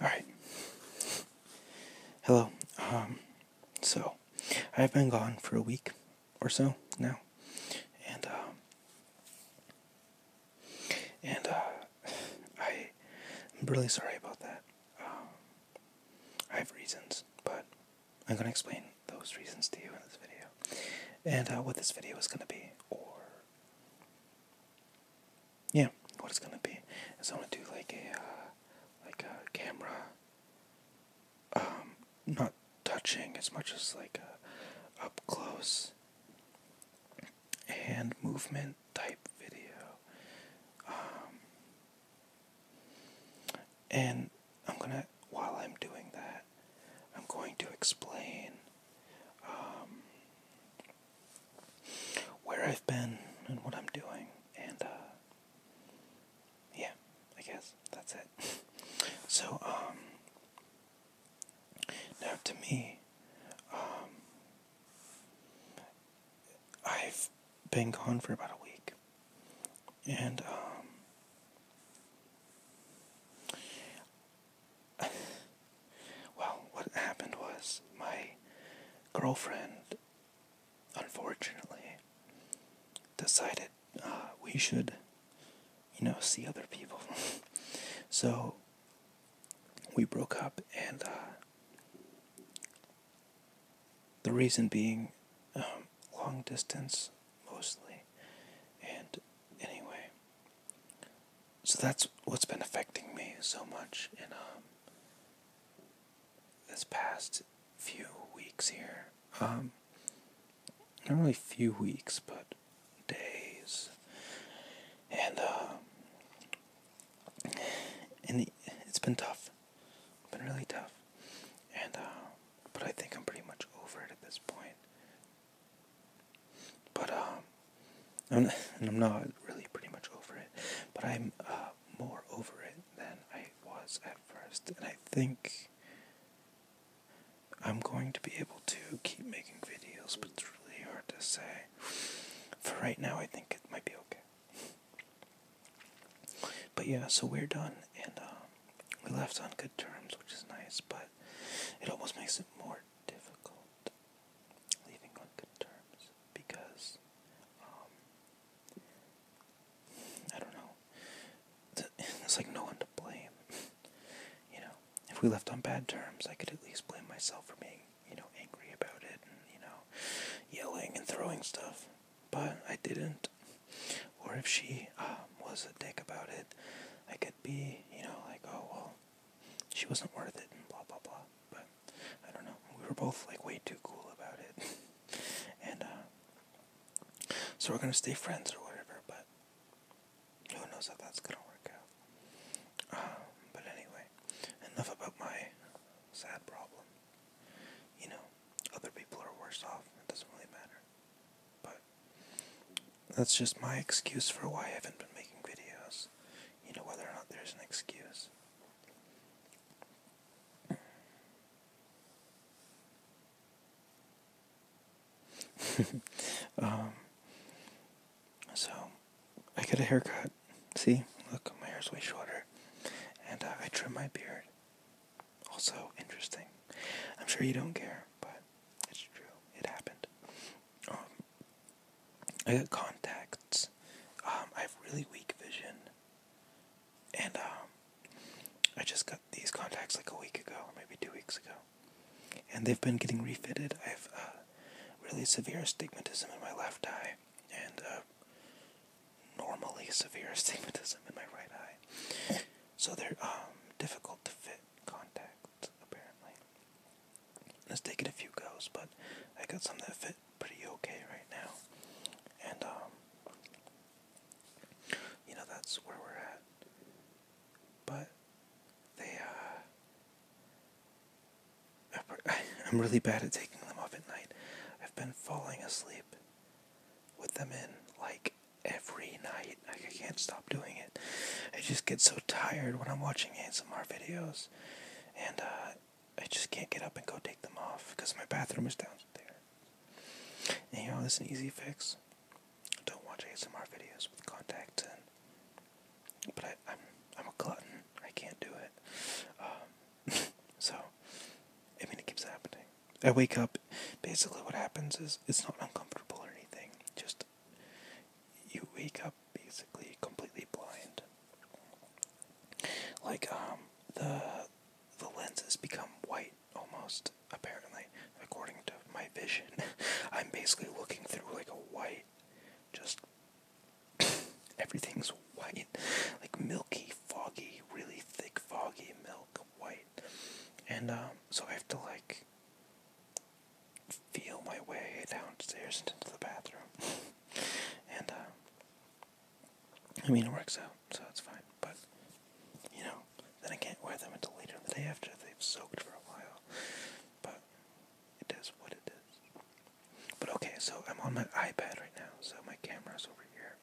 Alright. Hello. Um, so, I've been gone for a week or so now. And, um, and, uh, I, am really sorry about that. Um, I have reasons, but I'm going to explain those reasons to you in this video. And, uh, what this video is going to be, or yeah, what it's gonna be is I'm gonna do like a uh, like a camera, um, not touching as much as like a up close hand movement type video, um, and I'm gonna while I'm doing that, I'm going to explain. Um, where I've been and what I'm doing. And, uh, yeah, I guess that's it. so, um, now to me, um, I've been gone for about a week. And, um, well, what happened was my girlfriend, unfortunately, decided uh, we should, you know, see other people. so we broke up, and uh, the reason being um, long distance mostly. And anyway, so that's what's been affecting me so much in um, this past few weeks here. Um, not really few weeks, but days. And uh, and it's been tough. been really tough. And um, but I think I'm pretty much over it at this point. But um, I'm, and I'm not really pretty much over it, but I'm uh, more over it than I was at first, and I think I'm going to be able to keep making videos, but it's really hard to say. For right now, I think it might be okay. But yeah, so we're done, and um, we left on good terms, which is nice, but it almost makes it more difficult leaving on good terms because um I don't know. It's like no one to blame. You know, if we left on bad terms, I could at least blame myself for being, you know, angry about it and, you know, yelling and throwing stuff. But I didn't. Or if she um, was a dick about it, I could be, you know, like, oh, well, she wasn't worth it blah blah blah. But I don't know. We were both like way too cool about it. and uh, so we're gonna stay friends or whatever, but who knows how that's gonna work out. Um, but anyway, enough about my sad problem. You know, other people are worse off, it doesn't really matter. But that's just my excuse for why I haven't been making videos you know, whether or not there's an excuse. Um, so, I get a haircut. See, look, my hair's way shorter. And uh, I trim my beard. Also interesting. I'm sure you don't care, but it's true. It happened. Um, I got contacts. Um, I have really weak vision, and um, I just got these contacts like a week ago, or maybe two weeks ago, and they've been getting refitted. I have uh, really severe astigmatism in my left eye, and uh, normally severe astigmatism in my right eye. So they're um, difficult to fit contacts apparently. Let's take it a few goes, but I got some that fit pretty okay right now. And, um, you know, that's where we're at. But, they, uh, I'm really bad at taking them off at night. I've been falling asleep with them in, like, every night. Like, I can't stop doing it. I just get so tired when I'm watching ASMR videos and uh, I just can't get up and go take them off because my bathroom is down there. And you know, it's an easy fix. Don't watch ASMR videos with contact. in, but I, I'm I'm a glutton. I can't do it. Um, so, I mean, it keeps happening. I wake up. Basically, what happens is it's not uncomfortable or anything. Just you wake up basically completely blind. Like um the the lenses become white almost apparently according to my vision. I'm basically looking through like a white just everything's white. Like milky, foggy, really thick foggy milk white. And um so I have to like feel my way downstairs into the bathroom. and, uh, I mean, it works out, so it's fine. But, you know, then I can't wear them until later in the day after they've soaked for a while. But it is what it is. But okay, so I'm on my iPad right now, so my camera's over here,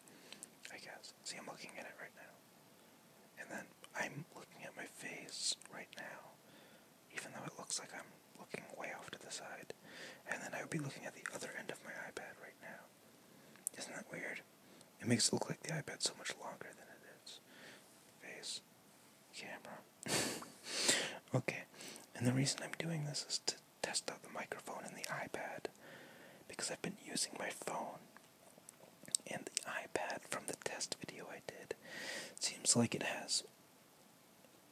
I guess. See, I'm looking at it right now. And then I'm looking at my face right now even though it looks like I'm looking way off to the side. And then I would be looking at the other end of my iPad right now. Isn't that weird? It makes it look like the iPad so much longer than it is. Face. Camera. okay. And the reason I'm doing this is to test out the microphone and the iPad. Because I've been using my phone and the iPad from the test video I did. seems like it has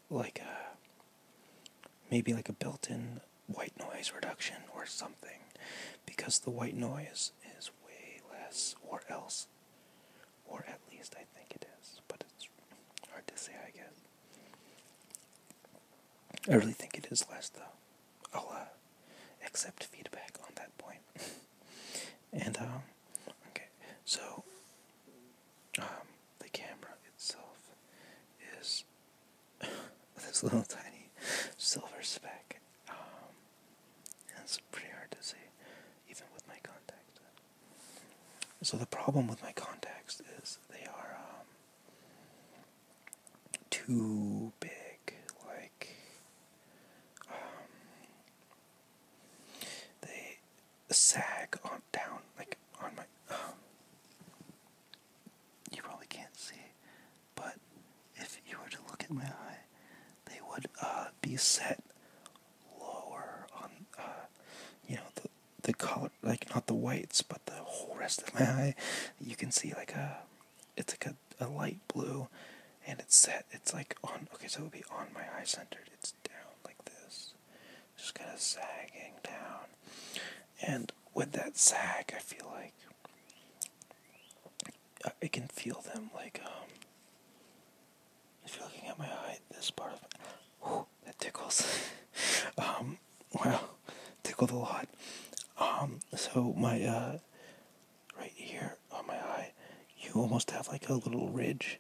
like a maybe like a built-in white noise reduction or something because the white noise is way less or else or at least I think it is but it's hard to say I guess I really think it is less though I'll uh, accept feedback on that point and um, okay so um, the camera itself is this little tiny silver speck. Um, it's pretty hard to see, even with my contacts. So the problem with my contacts is they are um, too big. Like they sag on down like on my um, you probably can't see but if you were to look at my eye they would uh, be set lower on uh, you know the the color like not the whites but the whole rest of my eye you can see like a it's like a, a light blue and it's set it's like on okay so it will be on my eye centered it's it's down like this, just kind of sagging down. And with that sag, I feel like uh, I can feel them like um, If you're looking at my eye, this part of my, that tickles. um, well, tickled a lot. Um, so my uh, right here on my eye, you almost have like a little ridge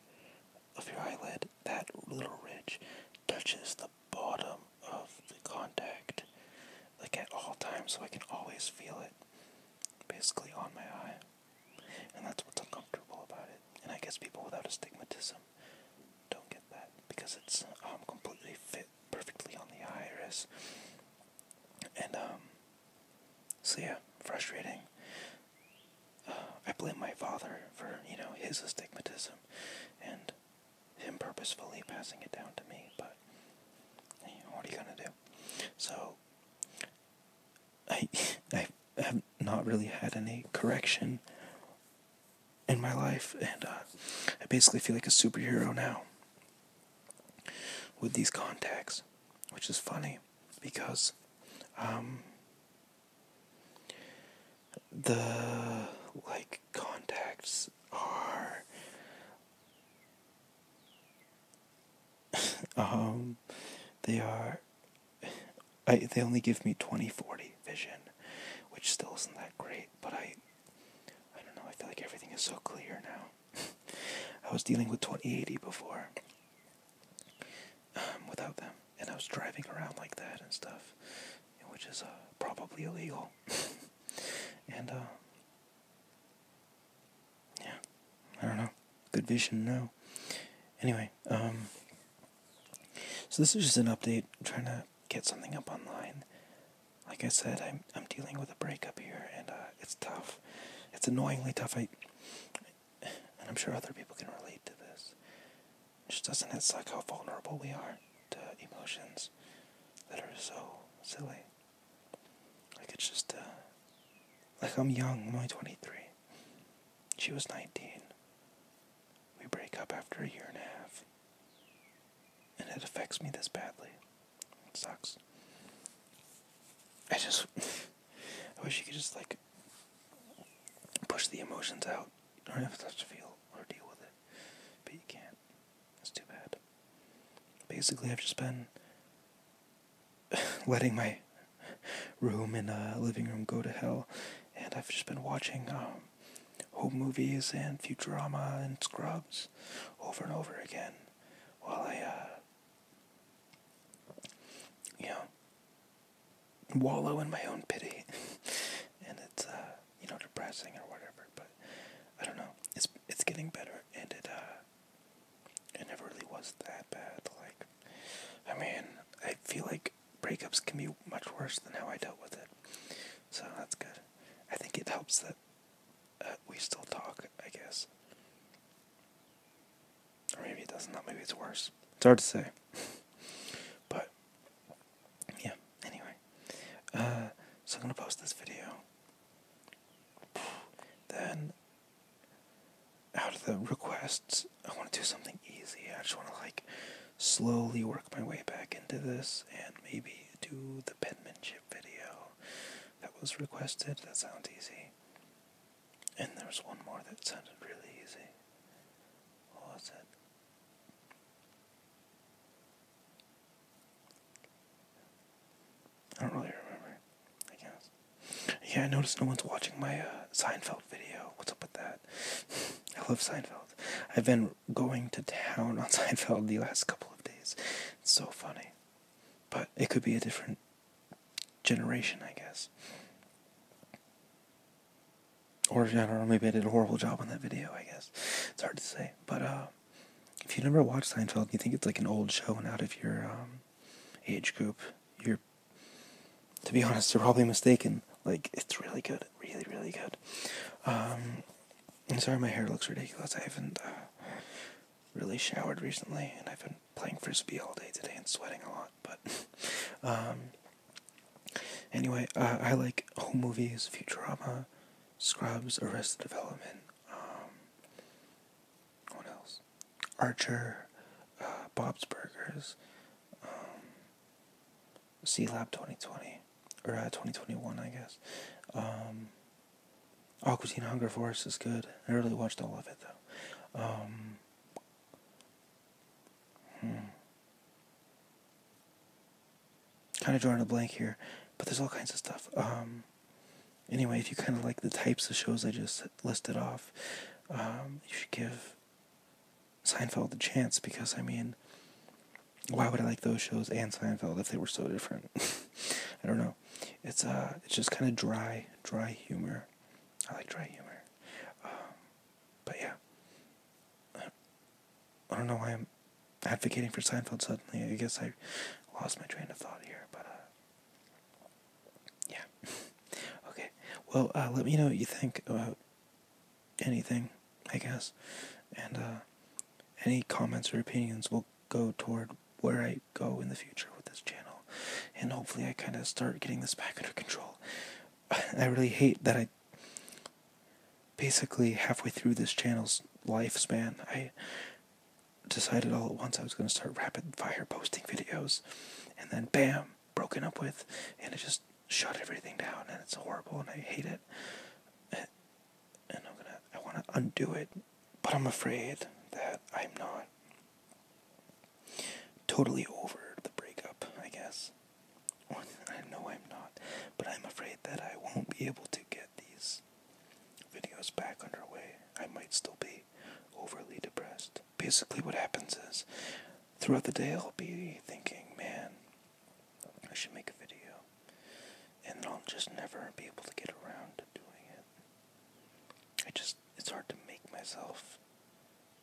of your eyelid, that little ridge touches the bottom of the contact, like at all times, so I can always feel it basically on my eye. And that's what's uncomfortable about it. And I guess people without astigmatism don't get that because it's um, completely fit perfectly on the iris. And um, so yeah, frustrating. Uh, I blame my father for, you know, his astigmatism and him purposefully passing it down to me, but what are you gonna do? So I I have not really had any correction in my life, and uh, I basically feel like a superhero now with these contacts, which is funny because um, the like contacts are um they are I they only give me 2040 vision which still isn't that great but I I don't know I feel like everything is so clear now I was dealing with 2080 before um, without them. And I was driving around like that and stuff, which is uh, probably illegal. and, uh, yeah, I don't know. Good vision, no. Anyway, um, so this is just an update. trying to get something up online. Like I said, I'm I'm dealing with a breakup here, and uh, it's tough. It's annoyingly tough and I'm sure other people can relate to this. Just doesn't it suck how vulnerable we are to emotions that are so silly? Like it's just, uh, like I'm young, I'm only 23. She was 19. We break up after a year and a half. And it affects me this badly. It sucks. I just, I wish you could just like push the emotions out. You don't have to feel or deal with it, but you can't. It's too bad. Basically, I've just been letting my room and uh, living room go to hell, and I've just been watching um, home movies and Futurama and Scrubs over and over again while I uh, you know, wallow in my own pity, and it's uh, you know depressing or whatever. But I don't know. It's it's getting better, and it uh, it never really was that bad. Like, I mean, I feel like breakups can be much worse than how I dealt with it. So that's good. I think it helps that uh, we still talk. I guess or maybe it does not. Maybe it's worse. It's hard to say. but, yeah, anyway. Uh, so I'm going to post this video. Then, out of the requests, I want to do something easy. I just want to, like, slowly work my way back into this and maybe do the penmanship video that was requested. That sounds easy. And there was one more that sounded really easy. What was it? I don't really remember, I guess. Yeah, I noticed no one's watching my uh, Seinfeld video. What's up with that? I love Seinfeld. I've been going to town on Seinfeld the last couple of days. It's so funny. But it could be a different generation, I guess. Or I don't know, maybe I did a horrible job on that video, I guess. It's hard to say. But uh, if you never watched Seinfeld, you think it's like an old show and out of your um, age group, you're, to be honest, you're probably mistaken. Like, it's really good. Really, really good. Um, I'm sorry my hair looks ridiculous. I haven't uh, really showered recently, and I've been playing frisbee all day today and sweating a lot, but um, anyway, I like home movies, Futurama, Scrubs, Arrested Development, um, what else? Archer, uh, Bob's Burgers, C um, Lab 2020, or uh, 2021, I guess. Um, Aquatine Hunger Force is good. I really watched all of it though. Hmm. Kind of drawing a blank here, but there's all kinds of stuff. Um, anyway, if you kind of like the types of shows I just listed off, um, you should give Seinfeld the chance because, I mean, why would I like those shows and Seinfeld if they were so different? I don't know. It's uh, it's just kind of dry, dry humor. I like dry humor. Um, but yeah. I don't know why I'm advocating for Seinfeld suddenly. I guess I lost my train of thought here, but uh, yeah. okay. Well, uh, let me know what you think about anything, I guess. And uh, any comments or opinions will go toward where I go in the future with this channel. And hopefully I kind of start getting this back under control. I really hate that I basically halfway through this channel's lifespan, I decided all at once I was going to start rapid fire posting videos. And then bam, broken up with. And it just shut everything down. And it's horrible and I hate it. And I'm going to, I want to undo it. But I'm afraid that I'm not totally over the breakup, I guess. I know I'm not, but I'm afraid that I won't be able to get these videos back underway. I might still be overly depressed. Basically, what happens is throughout the day, I'll be thinking, man, I should make a video. And I'll just never be able to get around to doing it. I just it's hard to make myself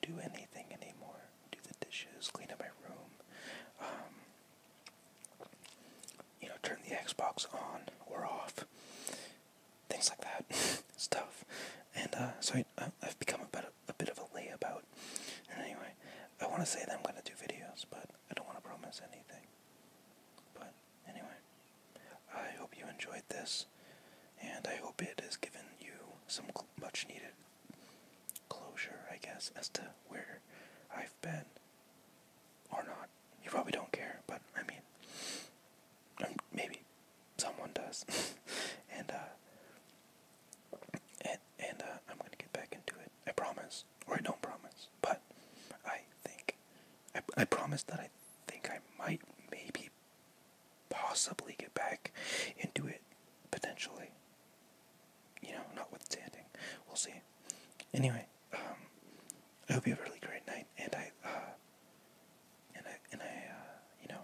do anything anymore. Do the dishes, clean up my room, um, you know, turn the Xbox on or off, things like that. Stuff, and uh, so I, have become a bit, a bit of a layabout. anyway, I want to say that I'm gonna do videos, but I don't want to promise anything. But Anyway, I hope you enjoyed this, and I hope it has given you some much needed closure, I guess, as to where I've been. Or not. You probably don't care, but I mean, um, maybe someone does. Uh, and, and, uh, I'm gonna get back into it. I promise. Or I don't promise. But I think, I, I promise that I think I might maybe possibly get back into it potentially. You know, notwithstanding, we'll see. Anyway, um, I hope you have a really great night, and I, uh, and I, and I, uh, you know,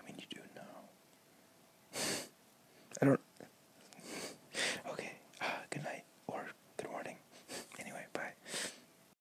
I mean, you do know. I don't. okay. Uh, good night or good morning. Anyway, bye.